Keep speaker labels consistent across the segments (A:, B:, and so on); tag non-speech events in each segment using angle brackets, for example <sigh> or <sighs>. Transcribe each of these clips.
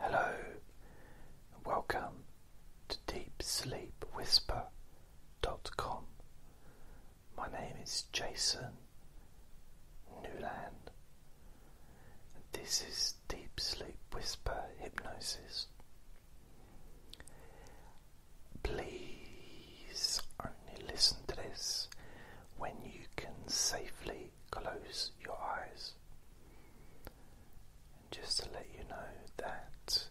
A: Hello, and welcome to DeepSleepWhisper.com. My name is Jason Newland, and this is Deep Sleep Whisper Hypnosis. Please only listen to this when you can safely close your eyes. And just to let you know that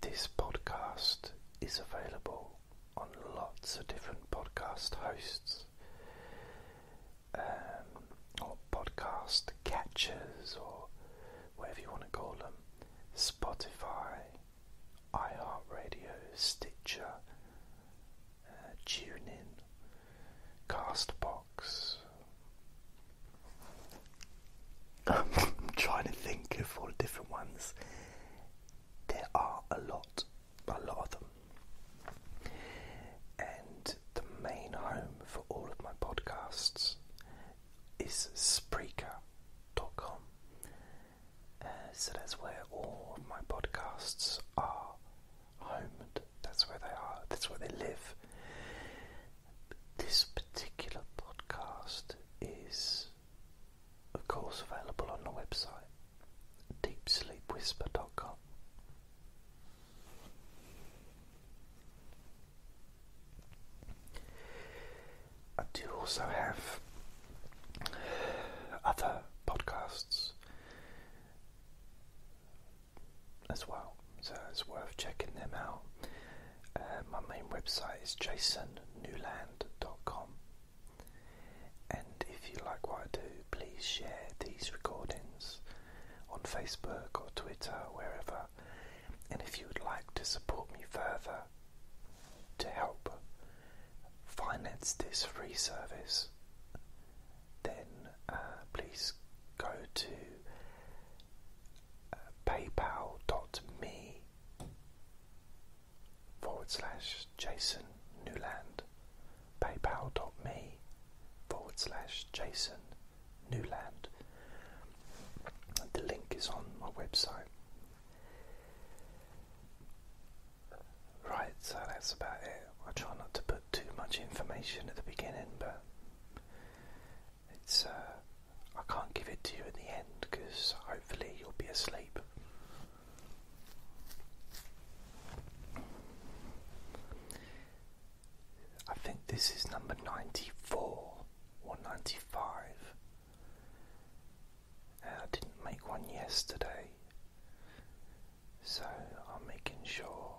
A: this podcast is available on lots of different podcast hosts um, or podcast catchers or whatever you want to call them Spotify, iHeartRadio, Stitcher, TuneIn, Castbox. Um, <laughs> I'm trying to think of all the different ones. There are a lot, a lot of them. And the main home for all of my podcasts is Spreaker.com. Uh, so that's where all of my podcasts are homed. That's where they are. That's where they live. This particular podcast is, of course, available on the website deepsleepwhisper.com. I do also have other podcasts as well, so it's worth checking them out. Uh, my main website is jasonnewland.com, and if you like what I do, please share these recordings on Facebook or Twitter, or wherever. And if you would like to support me further to help finance this free service, then uh, please go to uh, paypal.me forward slash Jason Newland. paypal.me forward slash Jason Newland. The link is on my website. Right, so that's about it. I try not to put too much information at the beginning, but it's uh, I can't give it to you at the end because hopefully you'll be asleep. I think this is number 94 or 95. Uh, I didn't make one yesterday. So I'm making sure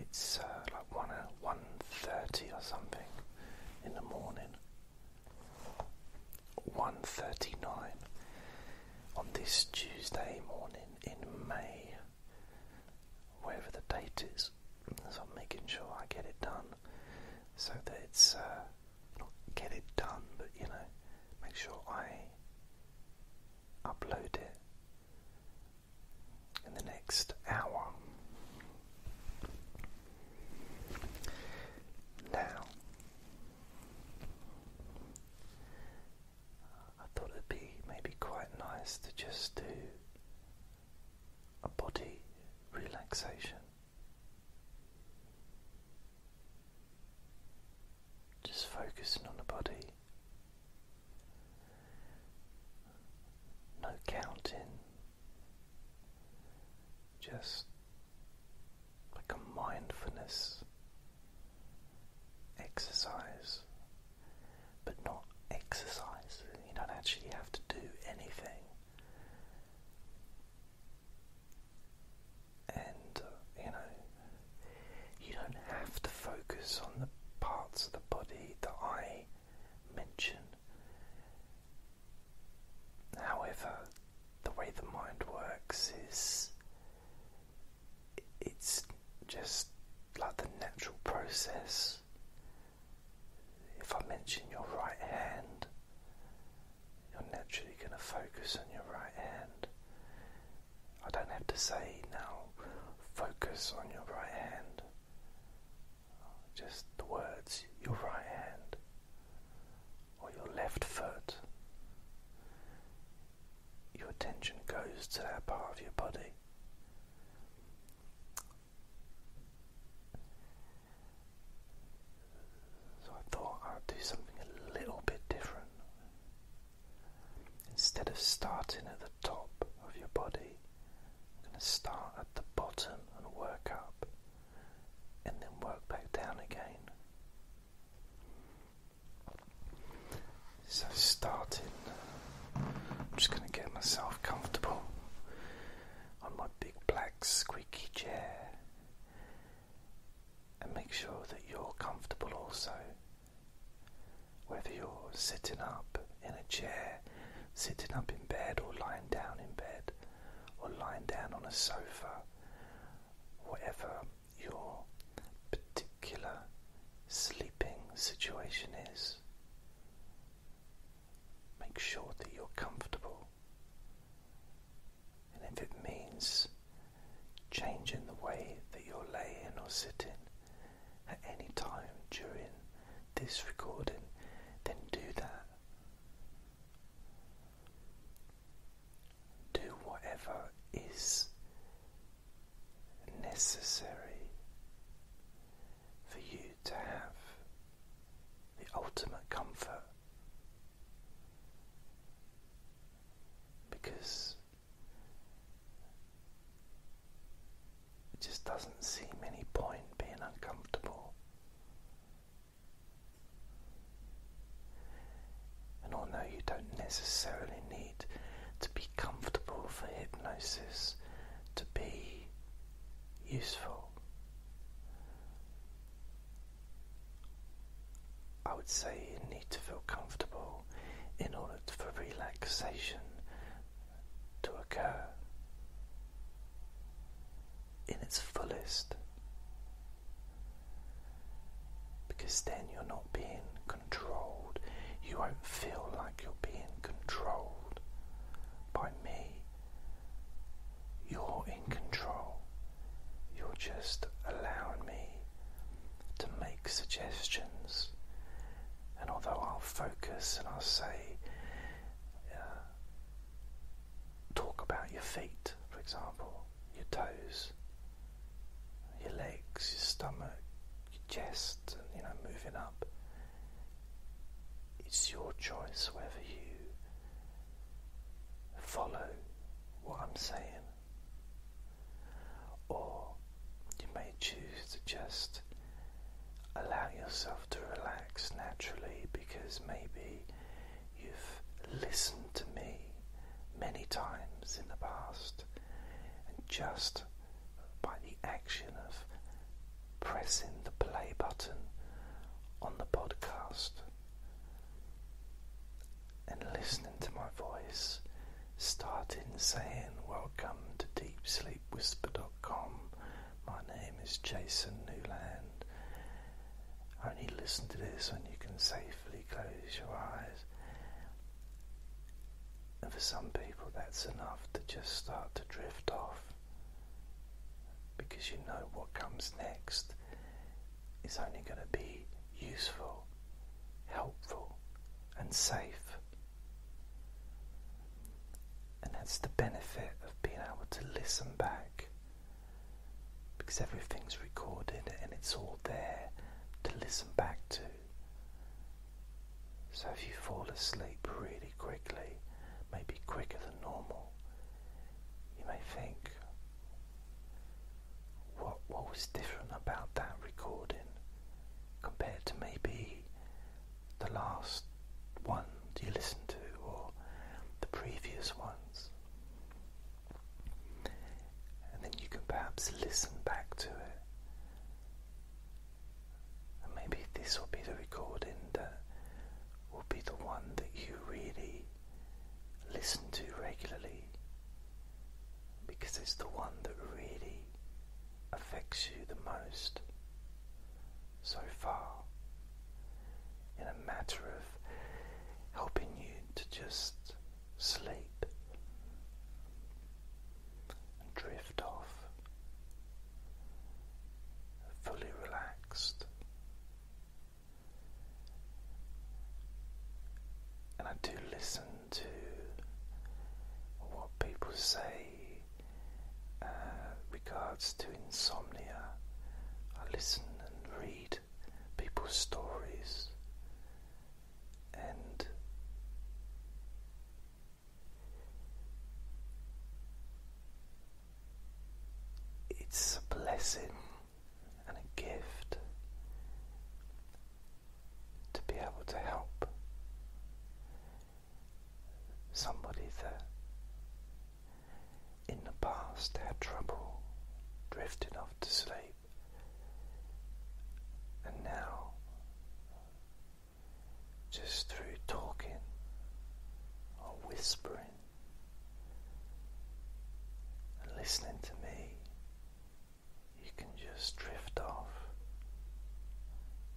A: it's uh, like one uh, one thirty or something in the morning. One thirty nine on this Tuesday morning in May, wherever the date is. So I'm making sure I get it done so that it's. Uh, not get it done, but you know, make sure I upload it in the next hour. Now, I thought it'd be maybe quite nice to just do a body relaxation just focusing on the body. No counting. Just like a mindfulness exercise, but not exercise. You don't actually have to do anything. And uh, you know, you don't have to focus on the parts of the body that I mention. However, the way the mind works is it's just like the natural process. If I mention your right hand, you're naturally going to focus on your right hand. I don't have to say now, focus on your right hand. Just the words, your right hand or your left foot. Your attention goes to that part of your body. So I thought I'd do something a little bit different. Instead of starting at the top of your body, I'm going to start at the bottom and work up, and then work back down again. So, starting, I'm just going to get myself comfortable on my big black squeaky chair and make sure that you're comfortable also. Whether you're sitting up in a chair, sitting up in bed, or lying down in bed, or lying down on a sofa, whatever your particular sleeping situation is, make sure that you're comfortable. And if it means changing the way that you're laying or sitting at any time during this recording, then do that. Do whatever is necessary for you to have the ultimate comfort. Because it just doesn't seem any point being uncomfortable. And although you don't necessarily need to be comfortable for hypnosis to be useful, I would say you need to feel comfortable in order for relaxation to occur in its fullest because then you're not being controlled. You won't feel like you're being controlled by me you're in control. You're just allowing me to make suggestions. And although I'll focus and I'll say, uh, talk about your feet, for example, your toes, your legs, your stomach, your chest, and you know, moving up. It's your choice whether you follow what I'm saying, or you may choose to just allow yourself to relax naturally because maybe you've listened to me many times in the past, and just by the action of pressing the play button on the podcast, and listening to my voice, starting saying, Welcome to DeepSleepWhisper.com. My name is Jason Newland. Only listen to this when you can safely close your eyes. And for some people, that's enough to just start to drift off because you know what comes next is only going to be useful, helpful, and safe. And that's the benefit of being able to listen back because everything's recorded and it's all there to listen back to. So if you fall asleep really quickly, maybe quicker than normal, you may think, what, what was different about that recording compared to maybe the last one you listened to or the previous ones? And then you can perhaps listen back to it. And maybe this will be the recording that will be the one that you really listen to regularly because it's the one that really affects you the most so far in a matter of helping you to just sleep and drift off fully relaxed and I do listen to what people say uh, regards to insomnia. I listen and read people's stories and it's a blessing and a gift to be able to help somebody that in the past had trouble drifting off to sleep and now just through talking or whispering and listening to me, you can just drift off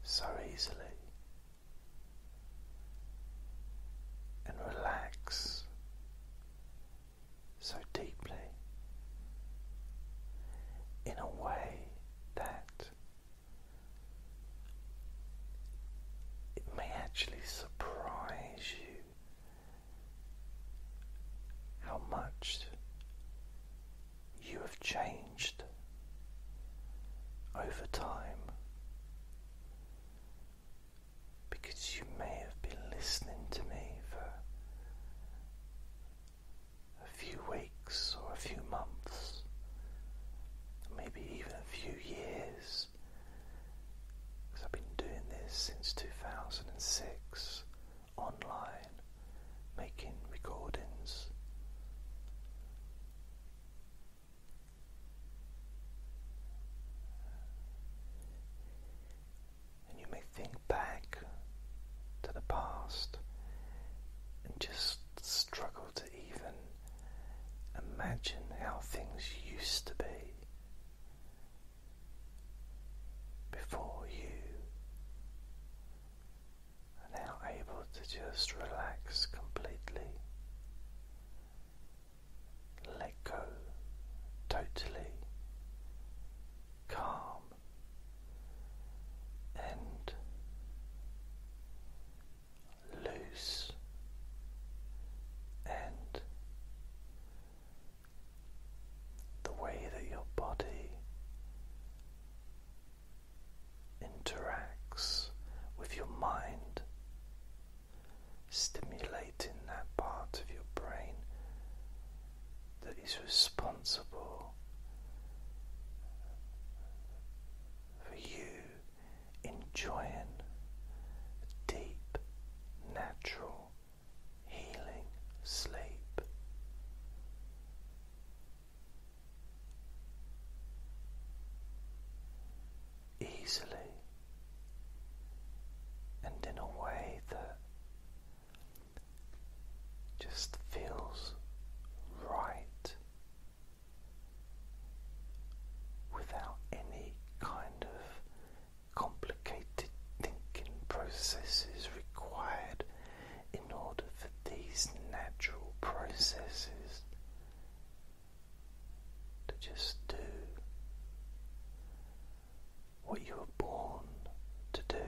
A: so easily and relax so deeply in a way that it may actually surprise how much you have changed over time because you may have been listening to me for a few weeks or a few months, maybe even a few years because I've been doing this since 2006 online, making recordings. And you may think back to the past and just struggle to even imagine how things used to be before you are now able to just relax completely, let go totally, calm and loose and the way that your body interacts with your mind, stimulating that part of your brain that is responsible for you enjoying deep, natural, healing sleep. Easily and in a way that just feels right without any kind of complicated thinking processes required in order for these natural processes to just do what you were born to do.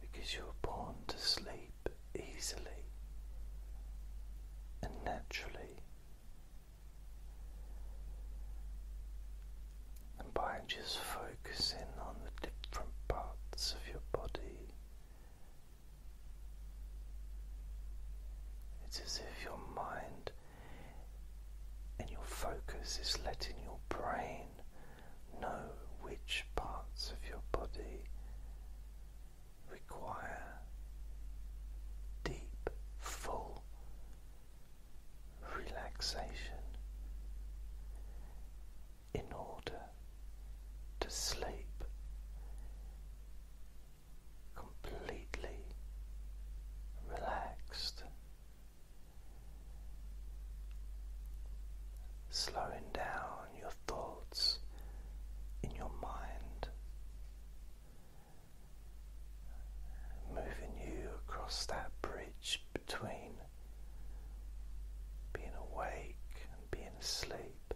A: Because you were born to sleep, easily and naturally. And by just focusing on the different parts of your body, it's as if your mind and your focus is letting your brain know which parts of your body require deep, full relaxation in order to sleep completely relaxed. Slowing down your thoughts in your mind, moving you across that bridge between being awake and being asleep,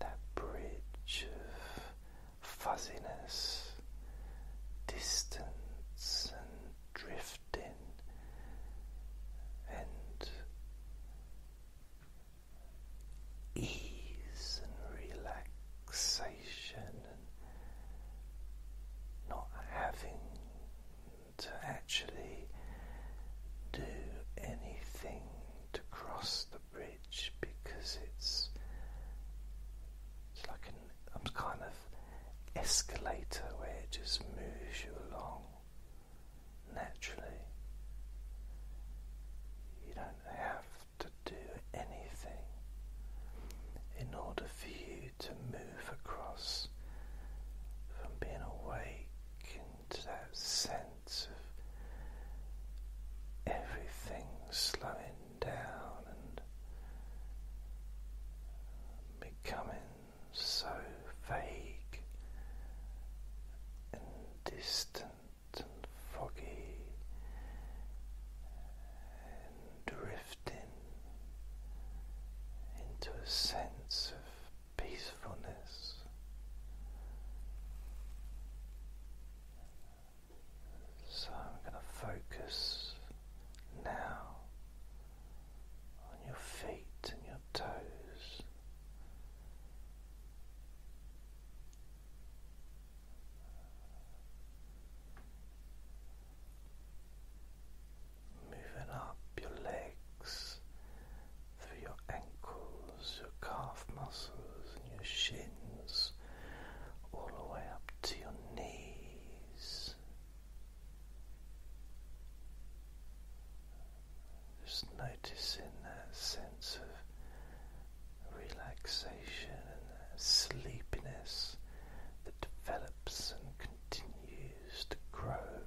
A: that bridge of fuzziness, distance, and drift and ease and relaxation and not having to actually do anything to cross the bridge because it's it's like an kind of escalator where it just moves you along naturally. You don't have to do anything in order for you to move across from being awake into that sense of everything slowing down and becoming so vague and distant and foggy and drifting into a sense of peacefulness. So I'm going to focus now on your feet and your toes. Moving up your legs through your ankles, your calf muscles, and your shins, all the way up to your knees. Just noticing that sense of relaxation and sleepiness that develops and continues to grow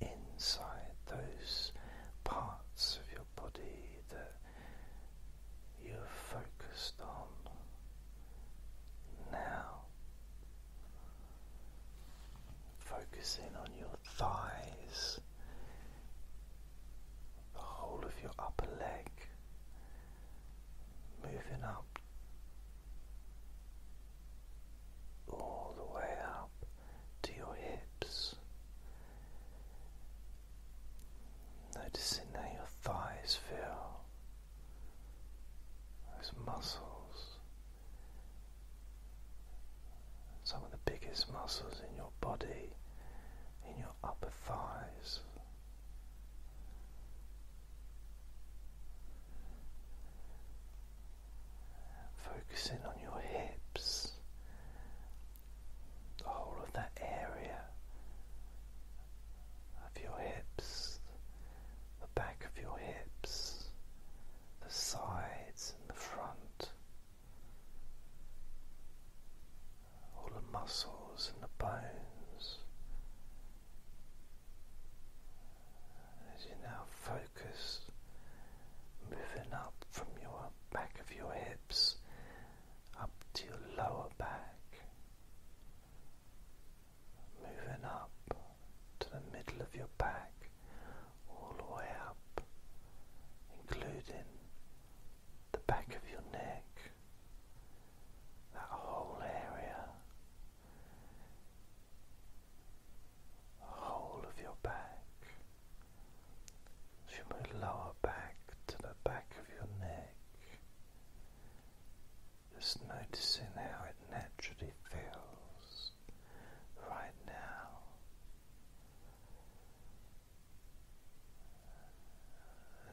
A: inside those parts of your body that you're focused on now. Focusing on your thighs, the whole of your upper leg, moving up all the way up to your hips. Noticing how your thighs feel those muscles, some of the biggest muscles in your body, in your upper thighs. Focusing on your hips, the whole of that area of your hips, the back of your hips, the sides and the front, all the muscles and the bones. As you now focus, moving up from your back of your hips up to your lower back, moving up to the middle of your back, all the way up, including the back of your neck, that whole area, the whole of your back, from your lower back to the back of your neck. Just noticing how it naturally feels right now.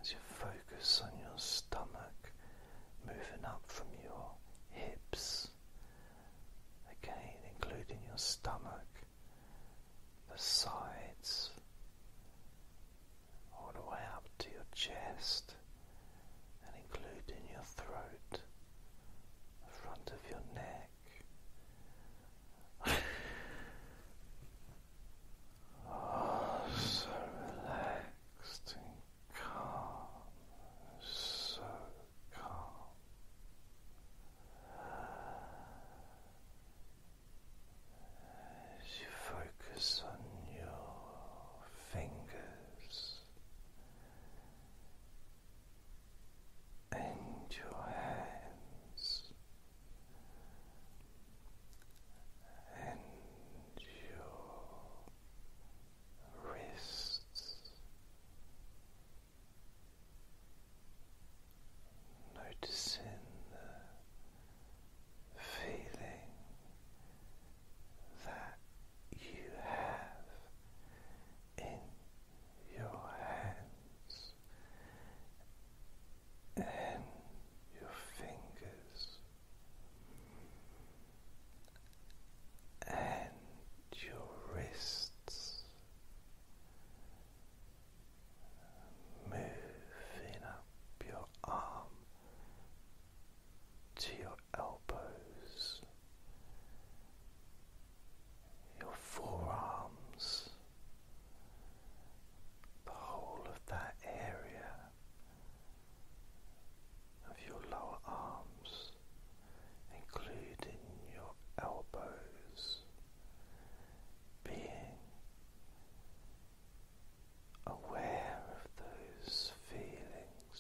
A: As you focus on your stomach moving up from your hips, again, including your stomach, the sides, all the way up to your chest and including your throat, the front of your neck. <sighs> oh, so relaxed and calm, so calm. As you focus on your fingers, and your hands and your wrists. Noticing the feeling that you have in your hands and your fingers and your wrists moving up your arm to your elbows, your forearms, the whole of that area of your lower arms, including your elbows, being aware of those feelings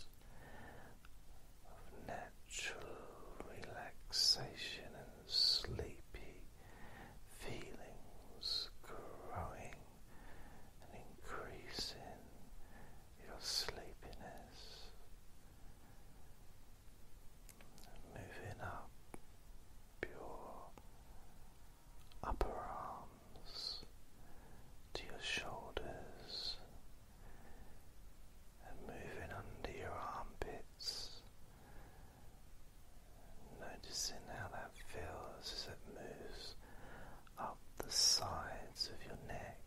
A: of natural relaxation and sleepy feelings growing and increasing your sleepiness, moving up your upper arm to your shoulders and moving under your armpits. Noticing how that feels as it moves up the sides of your neck.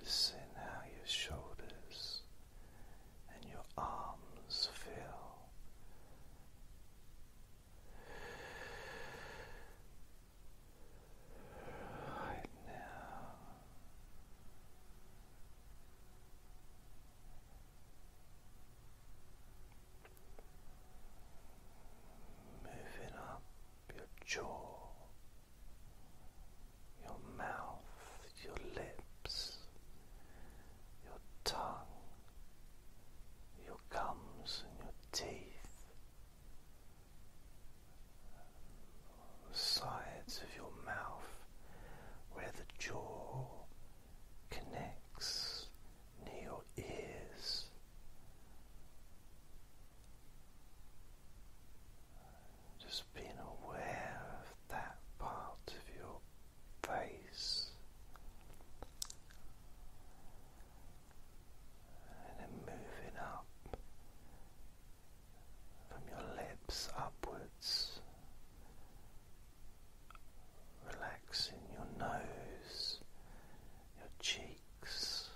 A: Noticing how your shoulders and your arms feel Right now. Moving up your jaw, your mouth, your lips, your tongue, Comes gums and your teeth, the sides of your mouth, where the jaw connects near your ears. Just being aware of that part of your face and then moving up from your lips upwards, relaxing your nose, your cheeks,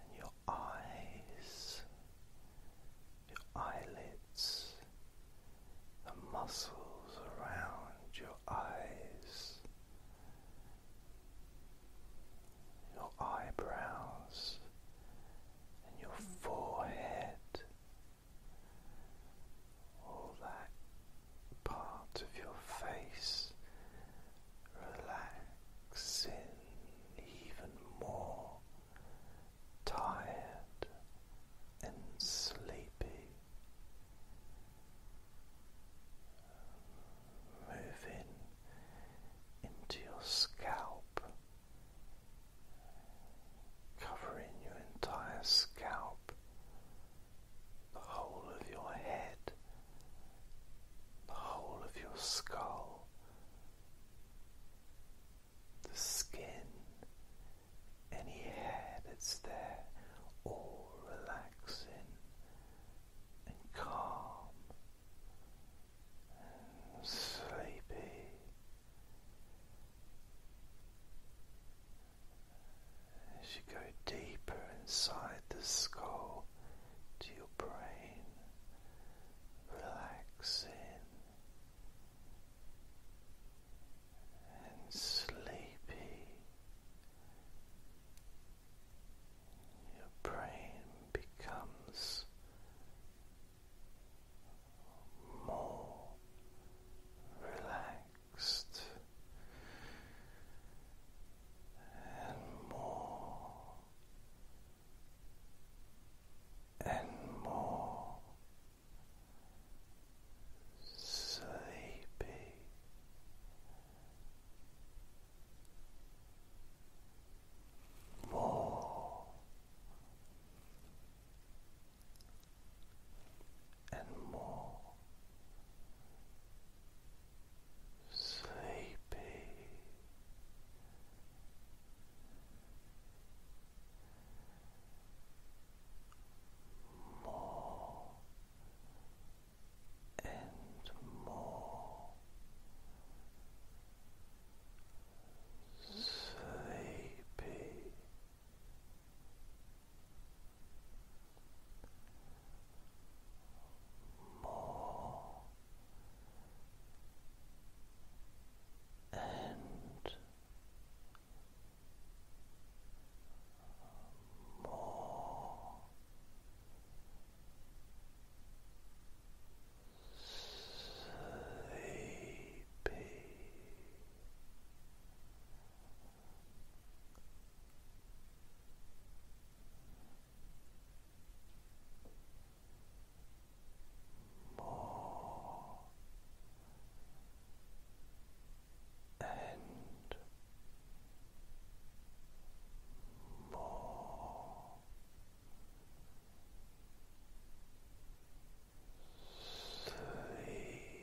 A: and your eyes, your eyelids the muscles around your eyes, your eyebrows, and your forehead, all that part of your face relaxing even more tired and sleepy moving into your scalp, covering your entire scalp, the whole of your head, the whole of your skull. The skin any hair that's there, all relaxing and calm and sleepy. As you go deeper inside the skull to your brain, relaxing and sleepy, your brain becomes more relaxed and more and more sleepy. More and more sleepy, more and more sleepy. More and more sleepy. More and more sleepy. Sleepy,